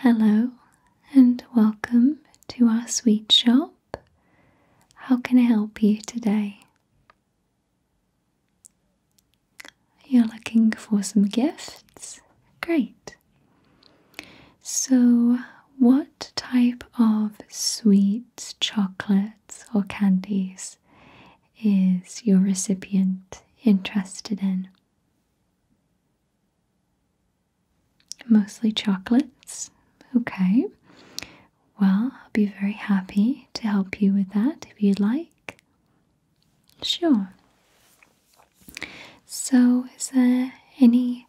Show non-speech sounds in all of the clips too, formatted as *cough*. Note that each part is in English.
Hello and welcome to our sweet shop. How can I help you today? You're looking for some gifts? Great. So, what type of sweets, chocolates, or candies is your recipient interested in? Mostly chocolates. Okay. Well, I'll be very happy to help you with that if you'd like. Sure. So, is there any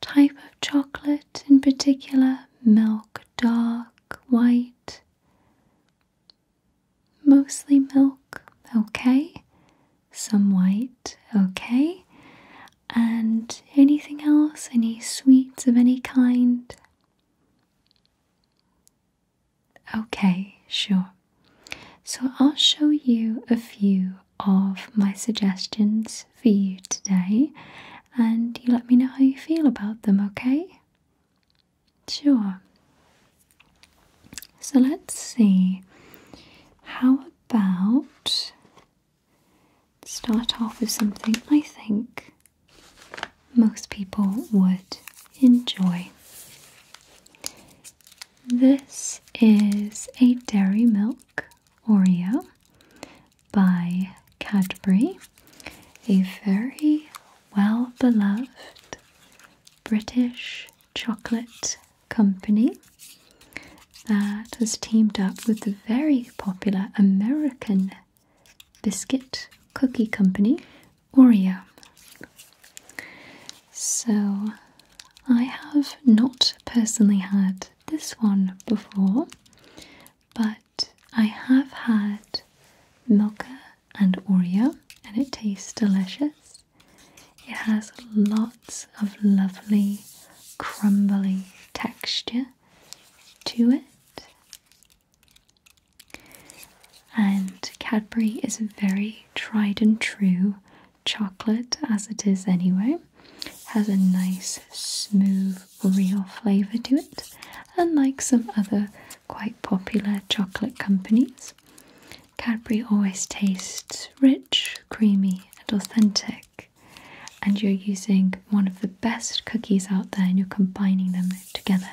type of chocolate in particular? Milk, dark, white? Mostly milk. Okay some white, okay? And anything else? Any sweets of any kind? Okay, sure. So I'll show you a few of my suggestions for you today and you let me know how you feel about them, okay? Sure. So let's see. How about start off with something I think most people would enjoy? This is a Dairy Milk Oreo by Cadbury, a very well beloved British chocolate company that has teamed up with the very popular American biscuit cookie company Oreo. So I have not personally had this one before, but I have had Milka and Oreo, and it tastes delicious. It has lots of lovely crumbly texture to it. And Cadbury is very tried and true chocolate as it is anyway. has a nice smooth real flavour to it, unlike some other quite popular chocolate companies. Cadbury always tastes rich, creamy, and authentic, and you're using one of the best cookies out there and you're combining them together.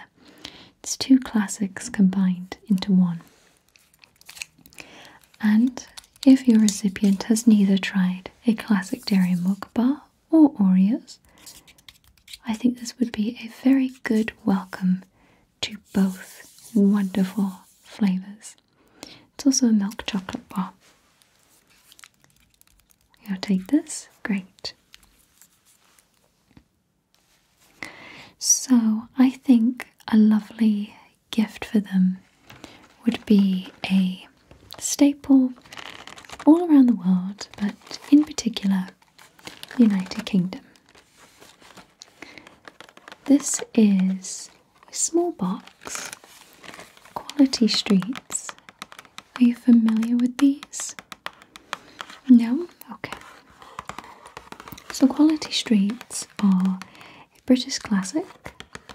It's two classics combined into one. And if your recipient has neither tried a classic dairy milk bar or Oreos, I think this would be a very good welcome to both wonderful flavors. It's also a milk chocolate bar. You'll take this? Great. So, I think a lovely gift for them would be a staple all around the world, but in particular, United Kingdom. This is a small box. Quality Streets. Are you familiar with these? No? Okay. So, Quality Streets are a British classic.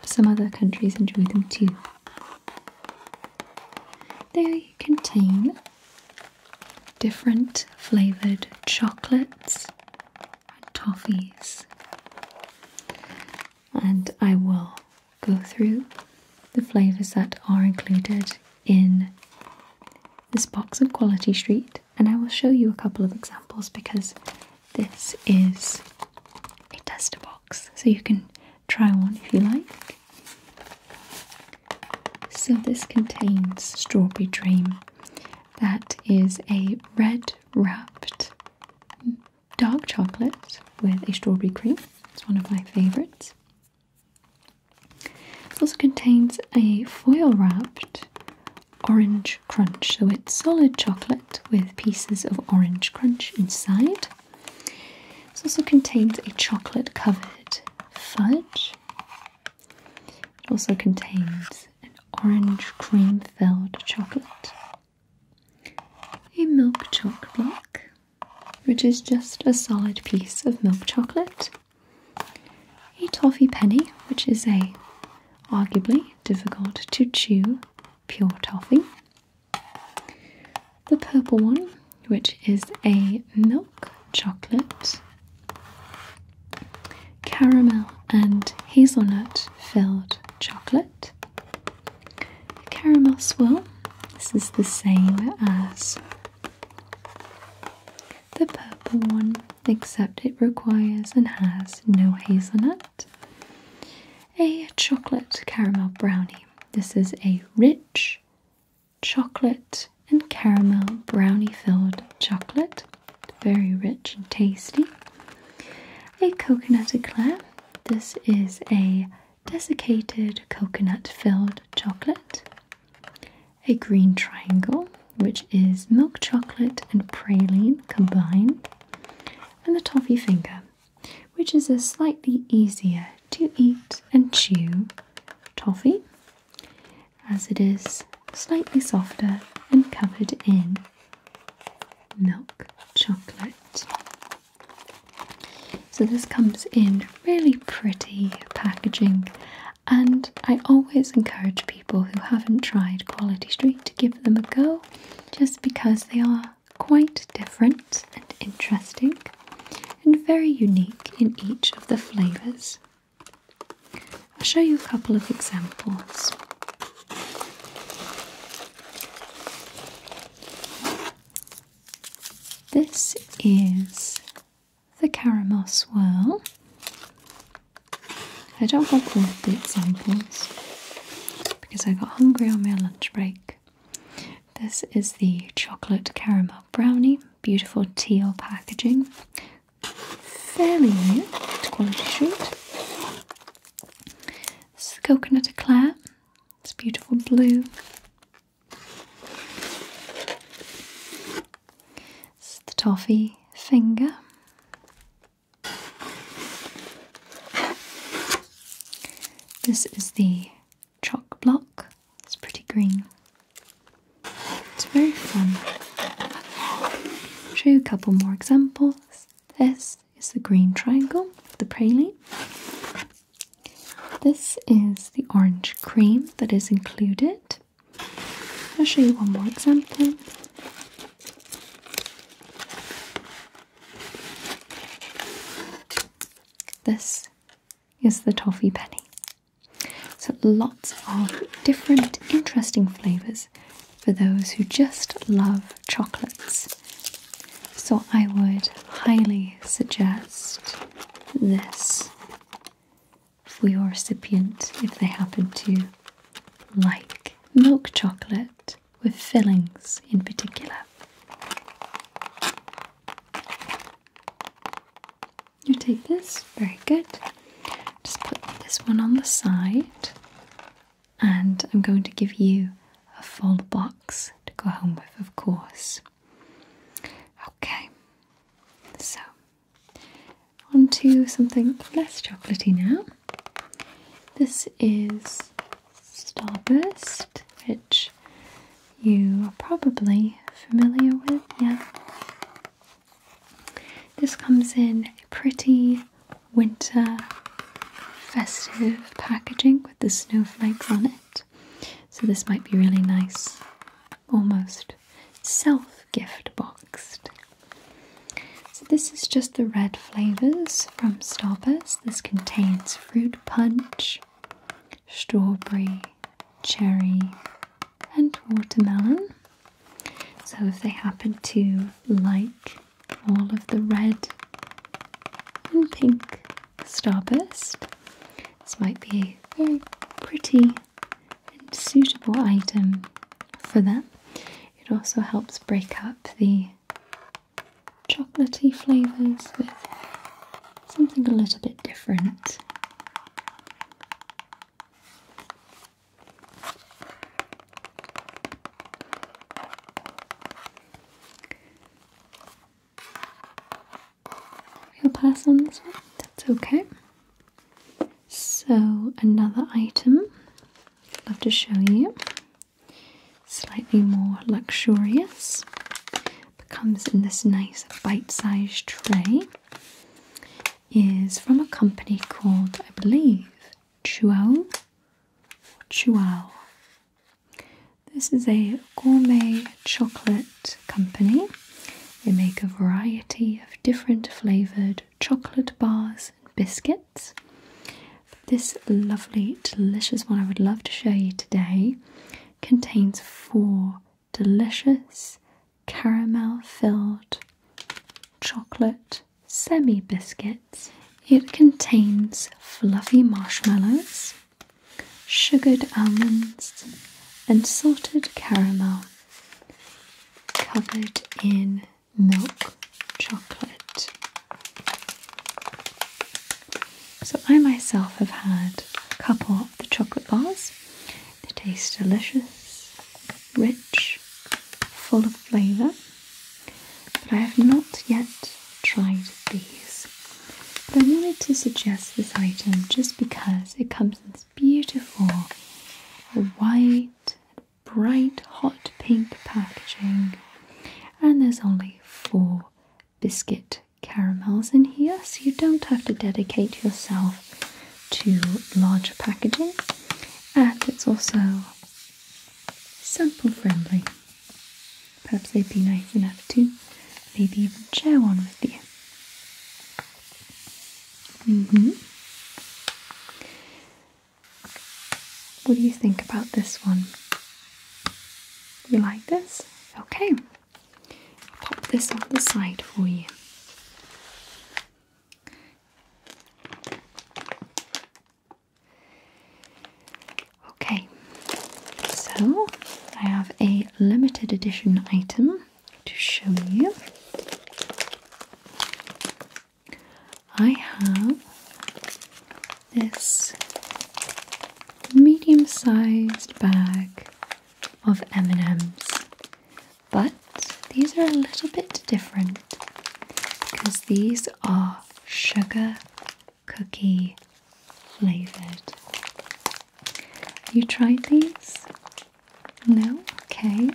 Some other countries enjoy them too. They contain different flavoured chocolates and toffees. And I will go through the flavors that are included in this box of Quality Street, and I will show you a couple of examples because this is a tester box, so you can try one if you like. So, this contains strawberry dream, that is a red wrapped dark chocolate with a strawberry cream. It's one of my favorites. It also contains a foil wrapped orange crunch. So it's solid chocolate with pieces of orange crunch inside. It also contains a chocolate covered fudge. It also contains an orange cream filled chocolate, a milk chalk block, which is just a solid piece of milk chocolate, a toffee penny, which is a arguably difficult to chew pure toffee, the purple one, which is a milk chocolate caramel and hazelnut filled chocolate, caramel swirl. This is the same as the purple one, except it requires and has no hazelnut. A chocolate caramel brownie. This is a rich chocolate and caramel brownie filled chocolate very rich and tasty. A coconut eclair. This is a desiccated coconut filled chocolate. A green triangle, which is milk chocolate and praline combined. And a toffee finger, which is a slightly easier to eat and chew toffee, as it is slightly softer and covered in milk chocolate. So, this comes in really pretty packaging, and I always encourage people who haven't tried Quality Street to give them a go just because they are quite different and interesting and very unique in each of the flavours. I'll show you a couple of examples. This is the caramel swirl. I don't have all the examples because I got hungry on my lunch break. This is the chocolate caramel brownie, beautiful teal packaging, fairly new to quality street. This is coconut eclair. It's beautiful blue. This is the toffee finger. This is the chalk block. It's pretty green. It's very fun. show you a couple more examples. This is the green triangle, the praline. This is the orange cream that is included. I'll show you one more example. This is the toffee penny. So lots of different interesting flavors for those who just love chocolates. So I would highly suggest this for your recipient if they happen to like milk chocolate with fillings in particular. You take this, very good. Just put this one on the side and I'm going to give you a full box to go home with, of course. Okay, so on to something less chocolaty now. This is Starburst, which you are probably familiar with, yeah. This comes in a pretty winter festive packaging with the snowflakes on it. So, this might be really nice, almost self gift boxed. So, this is just the red flavours from Starburst. This contains fruit punch, strawberry, cherry, and watermelon. So if they happen to like all of the red and pink starburst, this might be a very pretty and suitable item for them. It also helps break up the chocolatey flavours with something a little bit different. We'll pass on this one, that's okay. So, another item I'd love to show you, slightly more luxurious, but comes in this nice bite sized tray, is from a company called, I believe, Chuo. Chuao. This is a gourmet chocolate company. They make a variety of different flavoured chocolate bars and biscuits. This lovely, delicious one I would love to show you today contains four delicious caramel filled chocolate semi biscuits. It contains fluffy marshmallows, sugared almonds, and salted caramel covered in milk chocolate. So, I myself have had a couple of the chocolate bars. They taste delicious, rich, full of flavour but I have not yet tried these. But I wanted to suggest this item just because it comes in this beautiful white, bright, hot pink packaging, and there's only four biscuit caramels in here, so you don't have to dedicate yourself to larger packaging, and it's also sample friendly. Perhaps they'd be nice enough to maybe even share one with you. Mm hmm What do you think about this one? You like this? Okay. I'll pop this on the side for you. Okay, so I have a limited edition item to show you. I have this medium-sized bag of M&Ms, but these are a little bit different because these are sugar cookie flavored. You tried these? No? Okay.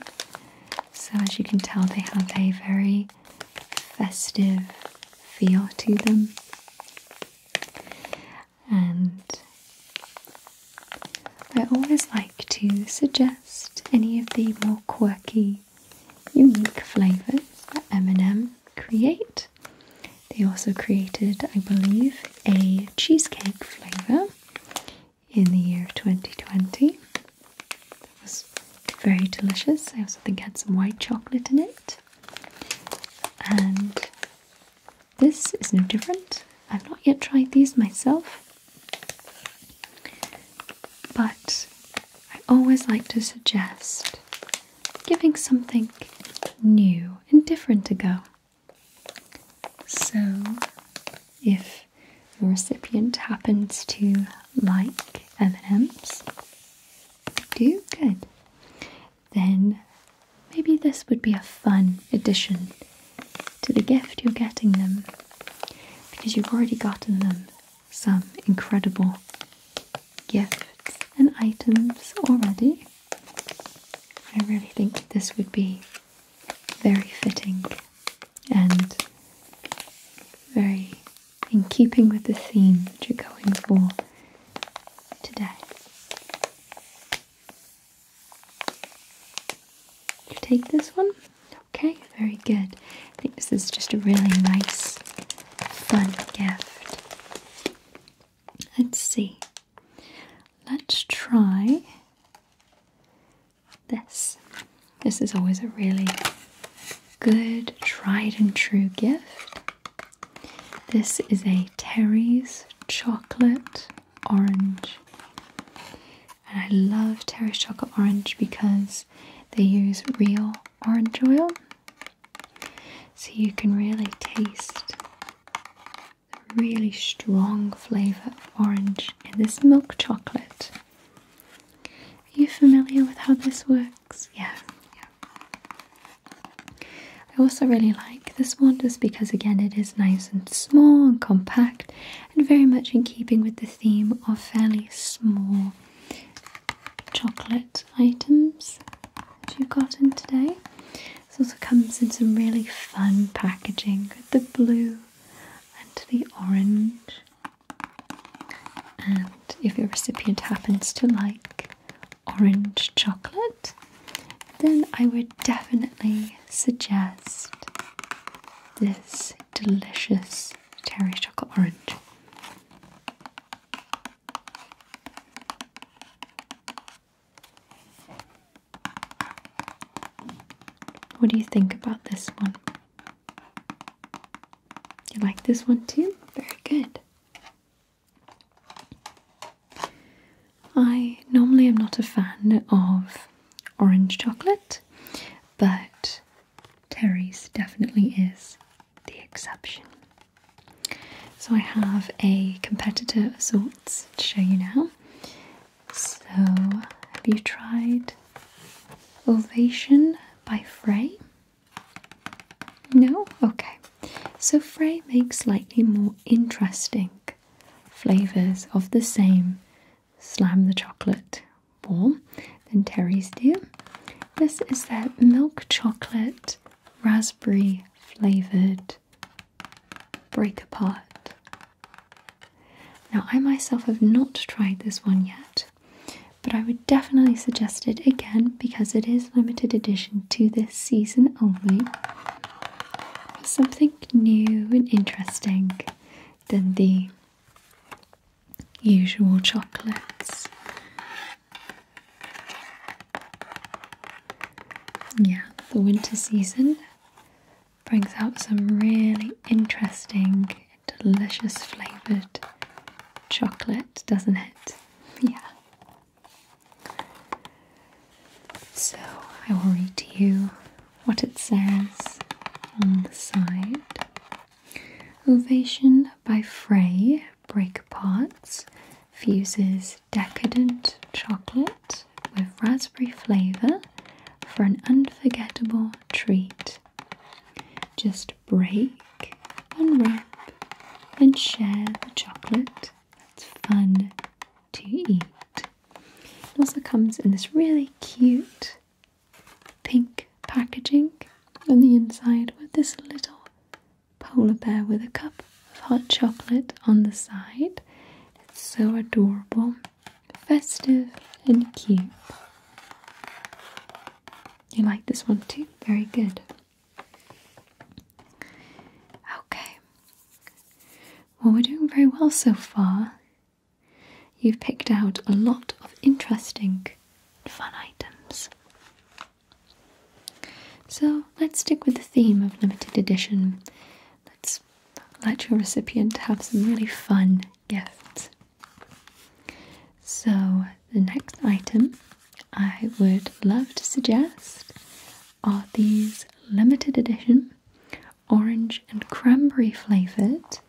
So, as you can tell, they have a very festive feel to them. And I always like to suggest any of the more quirky unique flavors that M&M create. They also created, I believe, a cheesecake flavor in the year of 2020. That was very delicious. I also think it had some white chocolate in it. And this is no different. I've not yet tried these myself. But I always like to suggest giving something new and different to go. So, if the recipient happens to like M&Ms, do good. Then maybe this would be a fun addition to the gift you're getting them because you've already gotten them some incredible gifts and items already. I really think this would be very fitting and very in keeping with the theme that you're going for today. You take this one? Okay, very good. I think this is just a really nice, fun gift. Let's see. Let's try this. This is always a really good, tried and true gift. This is a Terry's Chocolate Orange. And I love Terry's Chocolate Orange because they use real orange oil so you can really taste the really strong flavour of orange in this milk chocolate. Are you familiar with how this works? Yeah, yeah. I also really like this one just because, again, it is nice and small and compact and very much in keeping with the theme of fairly small chocolate items that you've gotten today. This also comes in some really fun packaging with the blue and the orange. And if your recipient happens to like orange chocolate, then I would definitely suggest this delicious cherry chocolate orange. What do you think about this one? You like this one too? Very good. I normally am not a fan of orange chocolate, but Terry's definitely is the exception. So I have a competitor of sorts to show you now. So have you tried Ovation by Frey? No? Okay. So Frey makes slightly more interesting flavours of the same slam the chocolate bowl than Terry's do. This is that milk chocolate raspberry flavored break apart. Now, I myself have not tried this one yet, but I would definitely suggest it again because it is limited edition to this season only. Something new and interesting than the usual chocolates. Yeah, the winter season brings out some really interesting, delicious flavoured chocolate, doesn't it? *laughs* Yeah. So I will read to you what it says on the side. Ovation by Frey Breakpots fuses decadent chocolate with raspberry flavour for an unforgettable treat. Just break, unwrap, and share the chocolate. It's fun to eat. It also comes in this really cute pink packaging on the inside with this little polar bear with a cup of hot chocolate on the side. It's so adorable, festive, and cute. You like this one too? Very good. Okay. Well, we're doing very well so far. You've picked out a lot of interesting fun items. So let's stick with the theme of limited edition. Let's let your recipient have some really fun gifts. So, the next item I would love to suggest are these limited edition orange and cranberry flavoured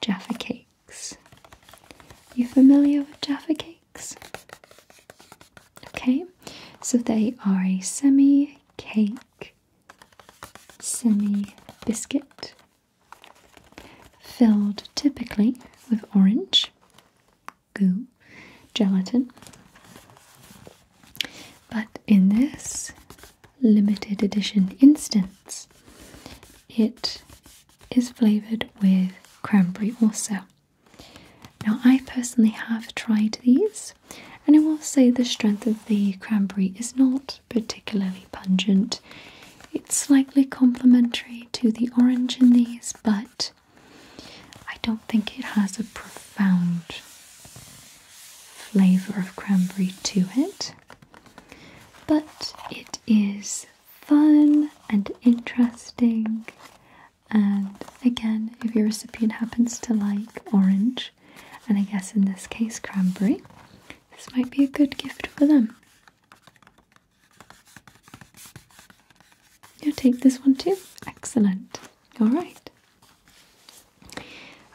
Jaffa cakes cakes. You familiar with Jaffa cakes? Okay, so they are a semi cake, semi biscuit, filled typically with orange, goo, gelatin. But in this limited edition instance, it is flavoured with cranberry also. Now, I personally have tried these, and I will say the strength of the cranberry is not particularly pungent. It's slightly complementary to the orange in these, but I don't think it has a profound flavour of cranberry to it. But it is fun and interesting. And again, if your recipient happens to like orange, and I guess in this case cranberry, this might be a good gift for them. You'll take this one too? Excellent. Alright.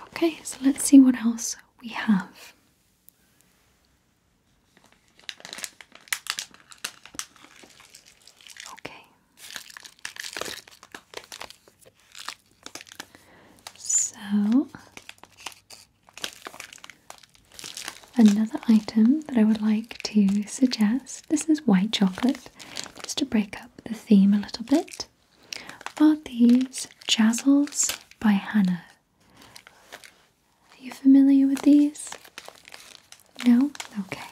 Okay, so let's see what else we have. Okay. So, another item that I would like to suggest this is white chocolate, just to break up the theme a little bit, are these Jazzles by Hannah. Are you familiar with these? No? Okay.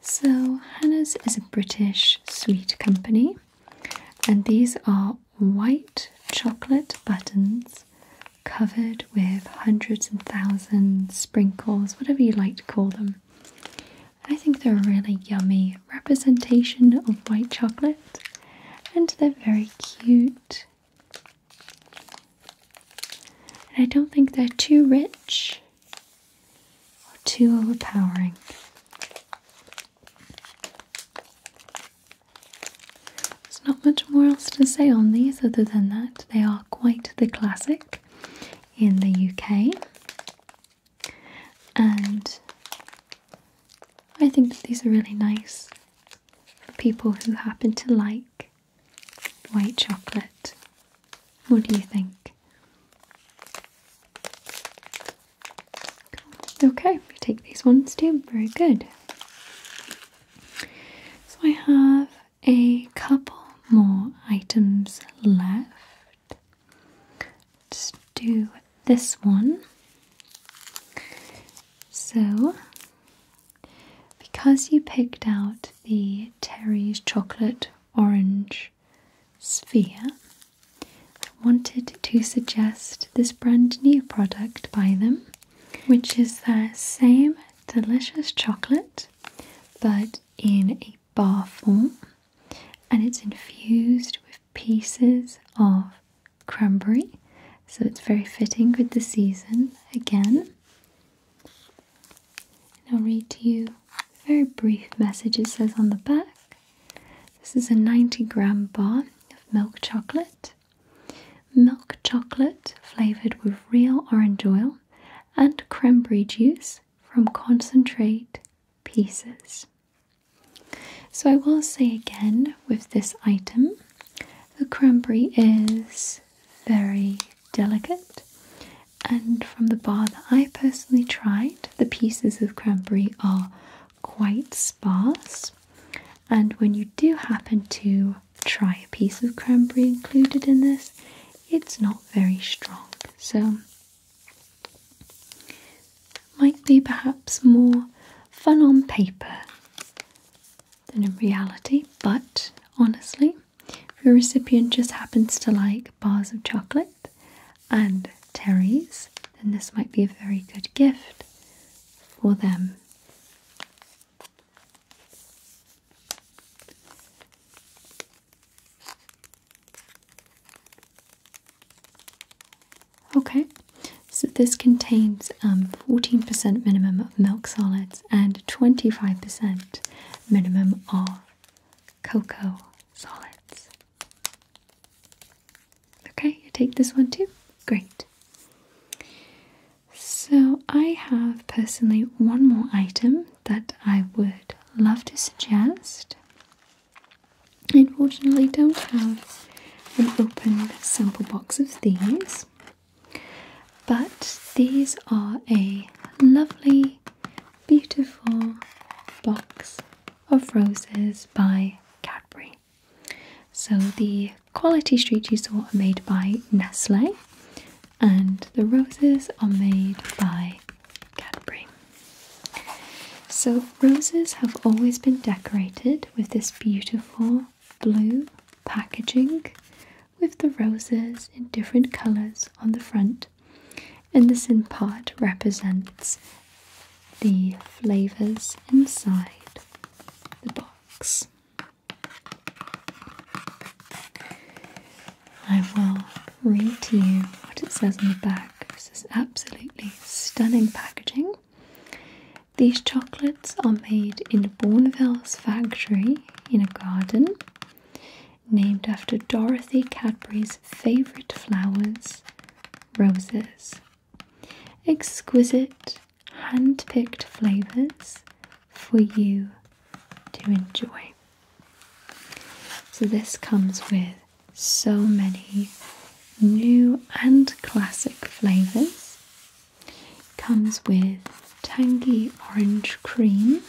So, Hannah's is a British sweet company, and these are white chocolate buttons covered with hundreds and thousands sprinkles, whatever you like to call them. I think they're a really yummy representation of white chocolate, and they're very cute and I don't think they're too rich or too overpowering. There's not much more else to say on these other than that they are quite the classic in the UK. And I think that these are really nice for people who happen to like white chocolate. What do you think? Okay, you take these ones too. Very good. So I have a couple more items left. Let's do this one. So because you picked out the Terry's chocolate orange sphere, I wanted to suggest this brand new product by them, which is their same delicious chocolate but in a bar form and it's infused with pieces of cranberry so it's very fitting with the season again. And I'll read to you a very brief message it says on the back. This is a 90 gram bar of milk chocolate. Milk chocolate flavoured with real orange oil and cranberry juice from concentrate pieces. So I will say again with this item the cranberry is very delicate. And from the bar that I personally tried, the pieces of cranberry are quite sparse. And when you do happen to try a piece of cranberry included in this, it's not very strong. So, might be perhaps more fun on paper than in reality, but honestly, if your recipient just happens to like bars of chocolate and terrys, then this might be a very good gift for them. Okay, so this contains 14% um, minimum of milk solids and 25% minimum of cocoa solids. Okay, you take this one too? Great. So, I have personally one more item that I would love to suggest. unfortunately don't have an open sample box of these, but these are a lovely, beautiful box of roses by Cadbury. So the quality street you saw are made by Nestle, and the roses are made by Cadbury. So, roses have always been decorated with this beautiful blue packaging with the roses in different colors on the front, and this in part represents the flavors inside the box. I will read to you what it says on the back. This is absolutely stunning packaging. These chocolates are made in Bourneville's factory in a garden named after Dorothy Cadbury's favourite flowers, roses. Exquisite, hand picked flavours for you to enjoy. So, this comes with so many new and classic flavours. Comes with tangy orange cream,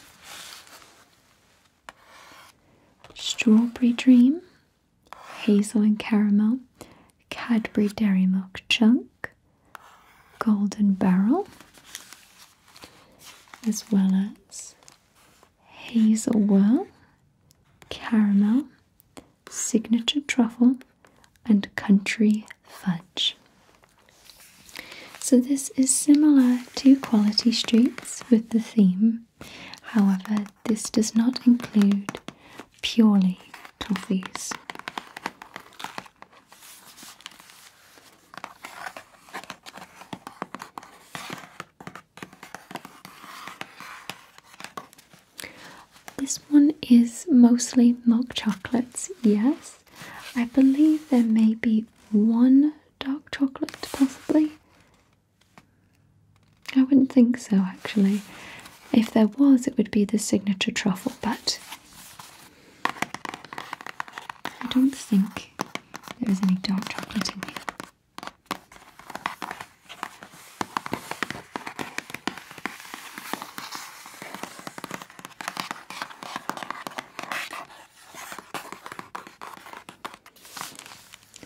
strawberry dream, hazel and caramel, Cadbury Dairy Milk Chunk, Golden Barrel, as well as hazel whirl, caramel, signature truffle, and country fudge. So, this is similar to Quality Streets with the theme, however, this does not include purely toffees. This one is mostly milk chocolates, yes, I believe there may be one dark chocolate, possibly. I wouldn't think so, actually. If there was, it would be the signature truffle, but I don't think there is any dark chocolate in here.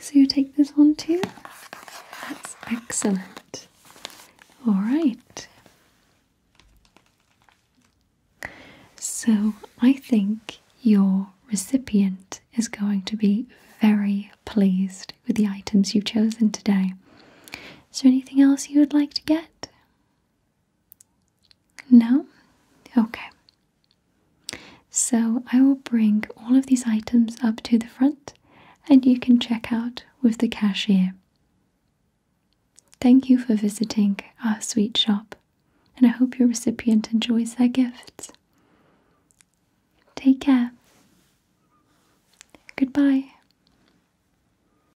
So you take this one too? That's excellent. All right. So I think your recipient is going to be very pleased with the items you've chosen today. Is there anything else you would like to get? No? Okay. So I will bring all of these items up to the front and you can check out with the cashier. Thank you for visiting our sweet shop and I hope your recipient enjoys their gifts. Take care. Goodbye.